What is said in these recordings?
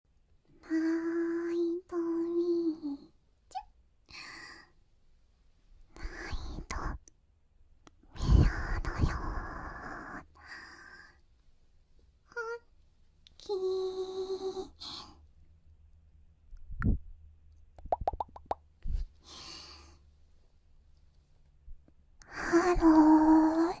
ないとみーちないとみやだよーはっきーはろー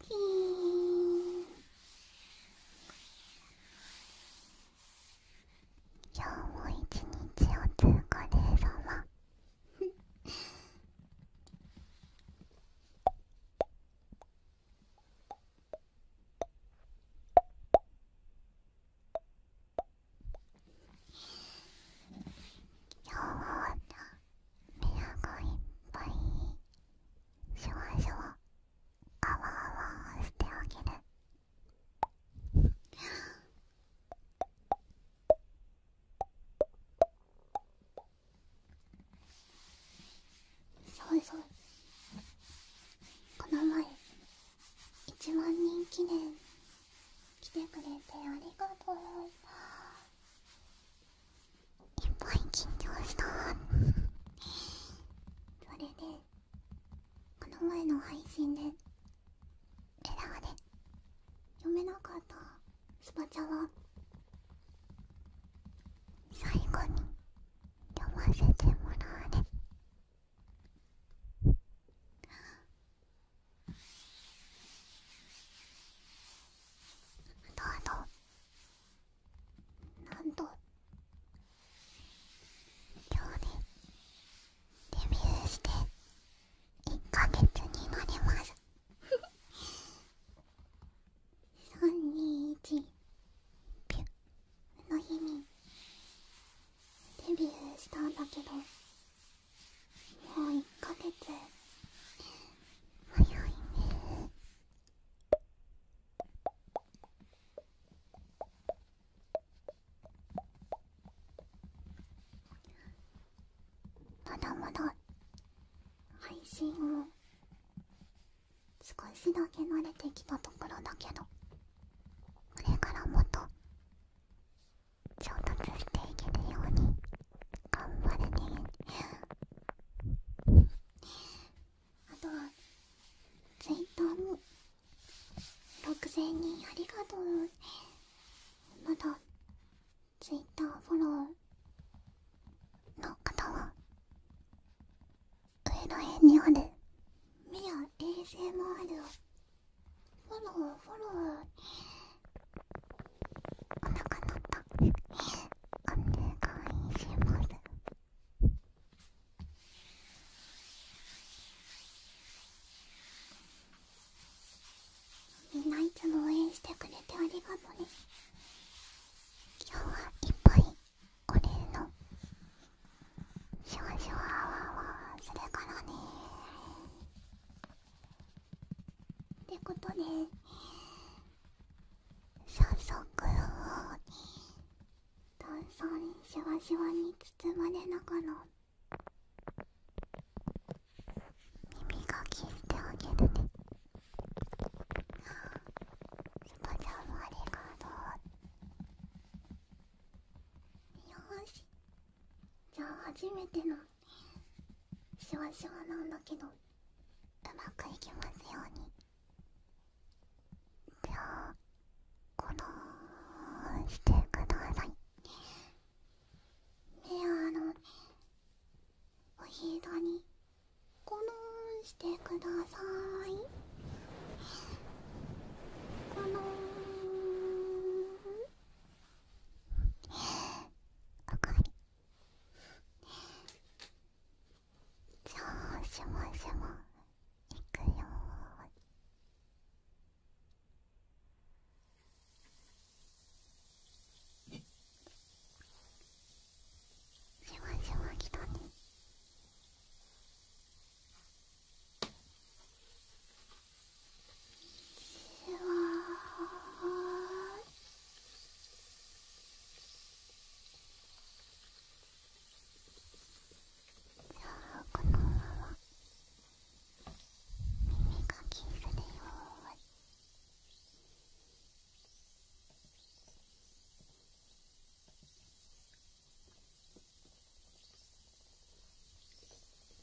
キー今日も一日お疲れ様今日も部屋がいっぱいしュワシュワあわあわしてあげるそうそわ。この前一万人記念来てくれてありがとういっぱい緊張したそれでこの前の配信でエラーで読めなかったスパチャは最後に読ませてもらうねあとあとなんと今日ねデビューして1ヶ月になります321ピュの日にデビューしたんだけどもう1ヶ月早いねまだまだ配信を少しだけ慣れてきたところだけどこれからもっと上達していけるように頑張れねあとはツイッターも6000人ありがとうまだツイッターフォローの方は上の辺にある目や a s もある…フォローフォローお腹鳴ったお願いしますみんないつも応援してくれてありがとね今日はいっぱいお礼のシュワシュワワするからねってことでさ早速炭酸シュワシュワに包まれながら耳かきしてあげるねスカちゃんもありがとうよしじゃあ初めてのシワシワなんだけどうまくいきますようにじゃあこのしてくださいねあのおひざにこのしてくださいこのえ、おかわりじゃあしましま、いくよしましま、来たねこのまま耳かきするよ耳かき耳かき耳か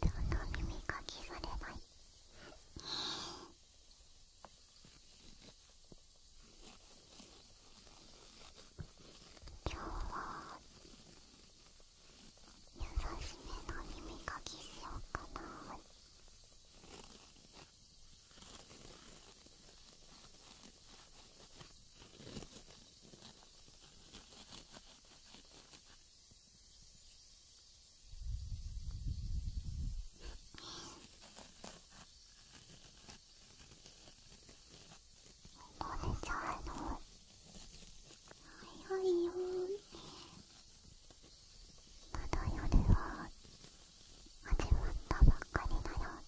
どんどん耳かきされない今日は優しめの耳かきしようかな耳どうちゃうの早いよまだ夜は始まったばっかりだよ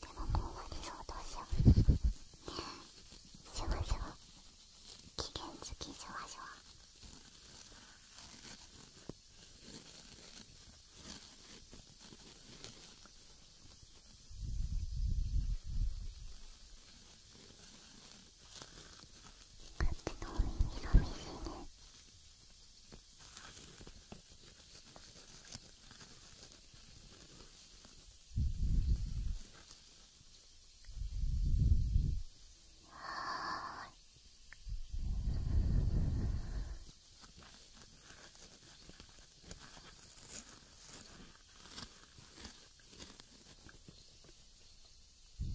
でももう終わりそうどうしようしょわしょわ期限付きしょわしょわあっちのお耳寂しいね耳を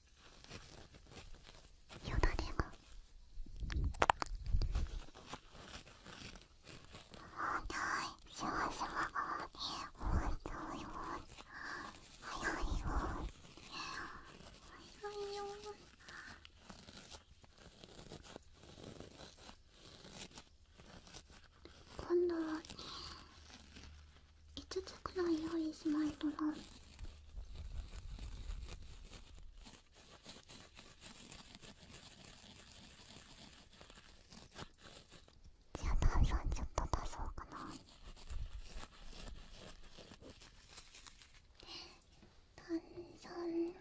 よだれがあーないシュワシュワがえっほんいほん早いよ早いよ今度はね5つくらい用意しないとなじゃあ炭酸ちょっと足そうかな炭酸足しちゃうよ